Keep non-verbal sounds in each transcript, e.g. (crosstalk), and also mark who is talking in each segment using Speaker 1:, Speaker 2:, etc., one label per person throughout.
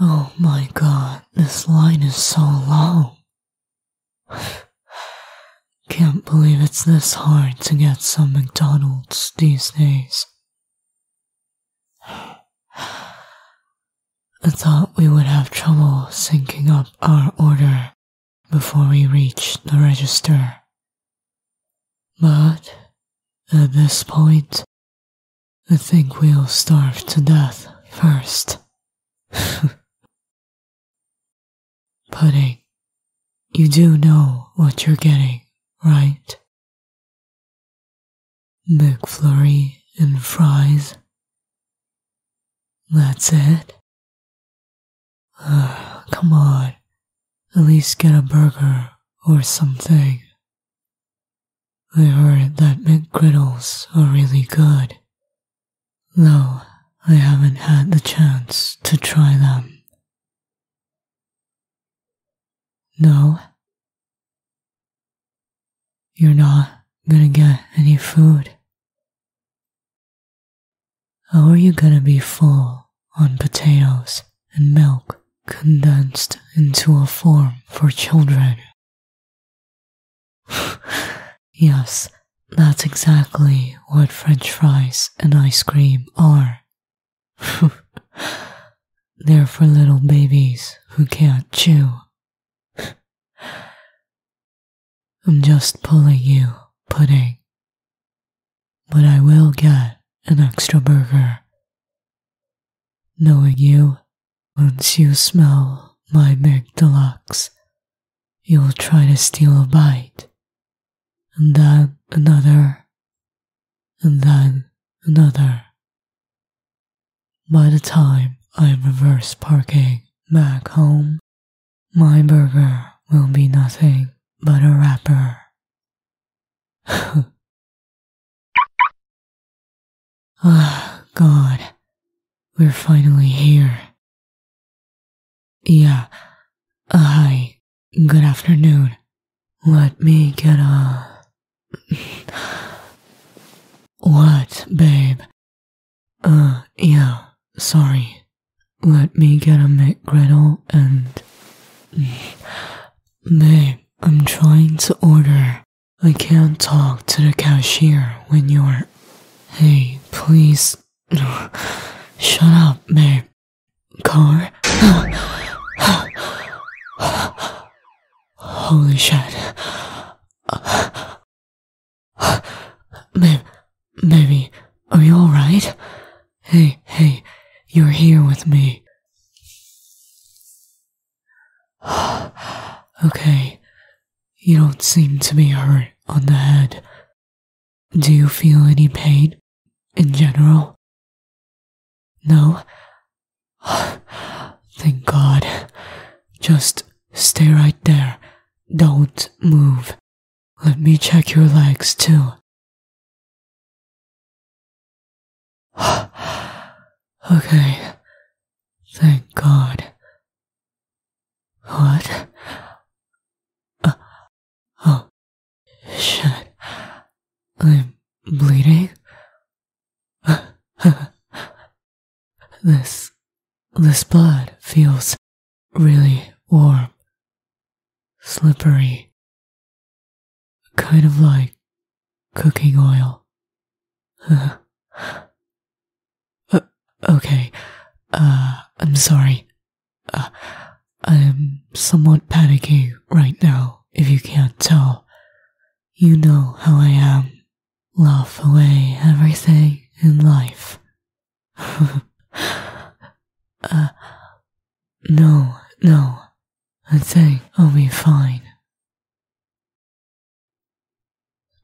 Speaker 1: Oh my god, this line is so long. Can't believe it's this hard to get some McDonald's these days. I thought we would have trouble syncing up our order before we reached the register. But at this point, I think we'll starve to death first.
Speaker 2: (laughs) Pudding, you do know what you're getting, right? McFlurry and fries. That's it?
Speaker 1: come on, at least get a burger or something I heard that McGriddles are really good, though I haven't had the chance to try them. No, you're not gonna get any food. How are you gonna be full on potatoes and milk condensed into a form for children (sighs) yes, that's exactly what French fries and ice cream are. (laughs) They're for little babies who can't chew. (sighs) I'm just pulling you, pudding. But I will get an extra burger. Knowing you, once you smell my Mac Deluxe, you'll try to steal a bite, and then another, and then another. By the time I'm reverse parking back home, my burger will be nothing
Speaker 2: but a wrapper. (laughs) Oh, God. We're finally here.
Speaker 1: Yeah. Uh, hi. Good afternoon. Let me get a... what, babe? Uh, yeah. Sorry. Let me get a McGriddle and... babe, I'm trying to order. I can't talk to the cashier when you're. Hey, please. (sighs) Shut up, babe. Car? (sighs) Holy shit. (sighs) Babe, baby, are you alright? Hey, hey, you're here with me. (sighs) okay, you don't seem to be hurt on the head. Do you feel any pain
Speaker 2: in general? No? (sighs) Thank God. Just stay right there. Don't move. Let me check your legs too. (sighs) okay. Thank God. What? Uh, oh, shit. I'm bleeding? (laughs) this, this blood feels really warm, slippery. Kind of like cooking oil. (laughs)
Speaker 1: Uh, okay, uh, I'm sorry. Uh, I am somewhat panicking right now, if you can't tell. You know how I am. Laugh away everything in life. (laughs) no, no, I think I'll be fine.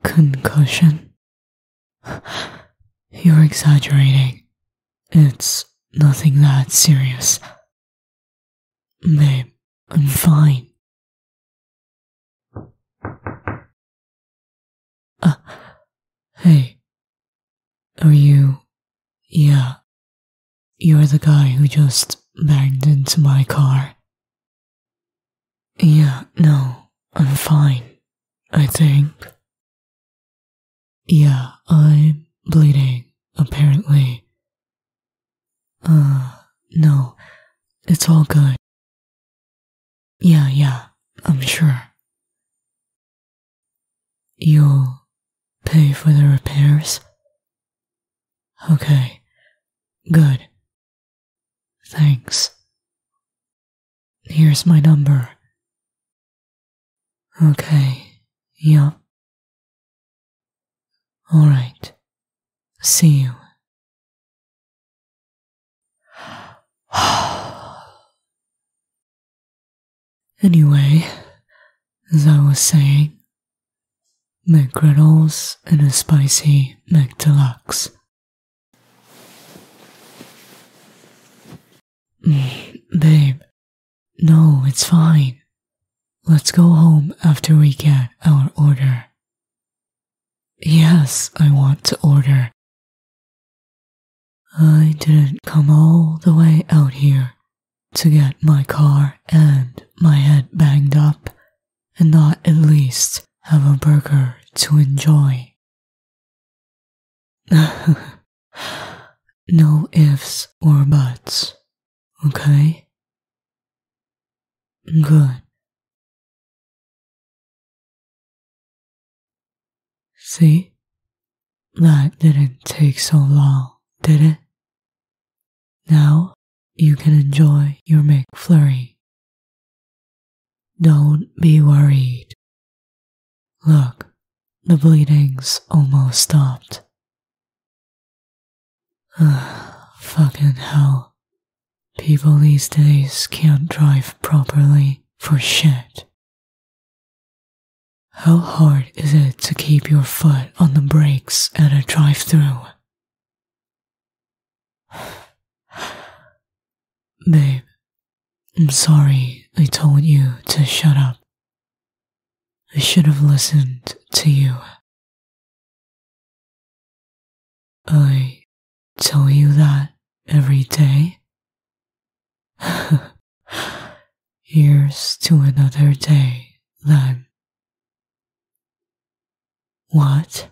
Speaker 2: Concussion? You're exaggerating. It's nothing that serious. Babe, I'm fine. Uh, hey,
Speaker 1: are you. Yeah, you're the guy who just banged into my car. Yeah, no, I'm fine,
Speaker 2: I think. Yeah, I'm bleeding, apparently. Uh, no, it's all good. Yeah, yeah, I'm sure. You'll pay for the repairs? Okay, good. Thanks. Here's my number. Okay, yeah. Alright, see you.
Speaker 1: (sighs) anyway, as I was saying, McGriddles and a spicy McDeluxe. Mm, babe, no, it's fine. Let's go home after we get our order. Yes, I want to order. I didn't come all the way out here to get my car and my head banged up and not at least have a burger to enjoy. (laughs)
Speaker 2: no ifs or buts, okay? Good. See? That didn't take so long, did it? Now you can enjoy your McFlurry. Don't be worried. Look, the bleeding's almost stopped. Ugh, fucking hell. People these
Speaker 1: days can't drive properly for shit. How hard is it to keep your foot on the brakes at a drive through? (sighs) Babe,
Speaker 2: I'm sorry I told you to shut up. I should have listened to you.
Speaker 1: I tell you that every day. (laughs) Here's to another day, then. What?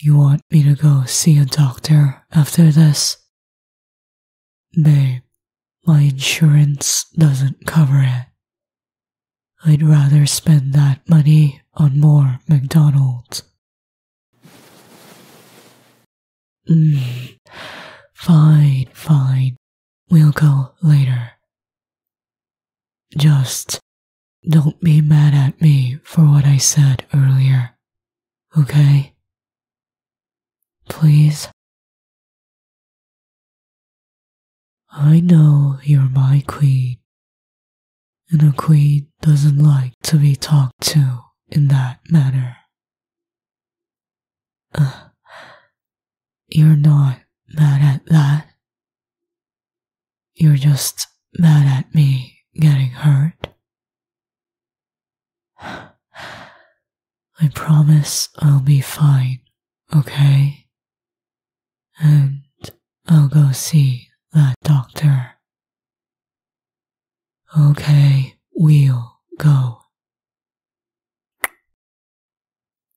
Speaker 1: You want me to go see a doctor after this? Babe, my insurance doesn't cover it. I'd rather spend that money on more McDonald's. Mm, fine, fine. We'll go later. Just don't be mad at me for what I said earlier, okay?
Speaker 2: Please? I know
Speaker 1: you're my queen, and a queen doesn't like to be talked to in that manner. You're not mad at that. You're just mad at me getting hurt. I promise I'll be fine, okay? And I'll go see that doctor. Okay, we'll go.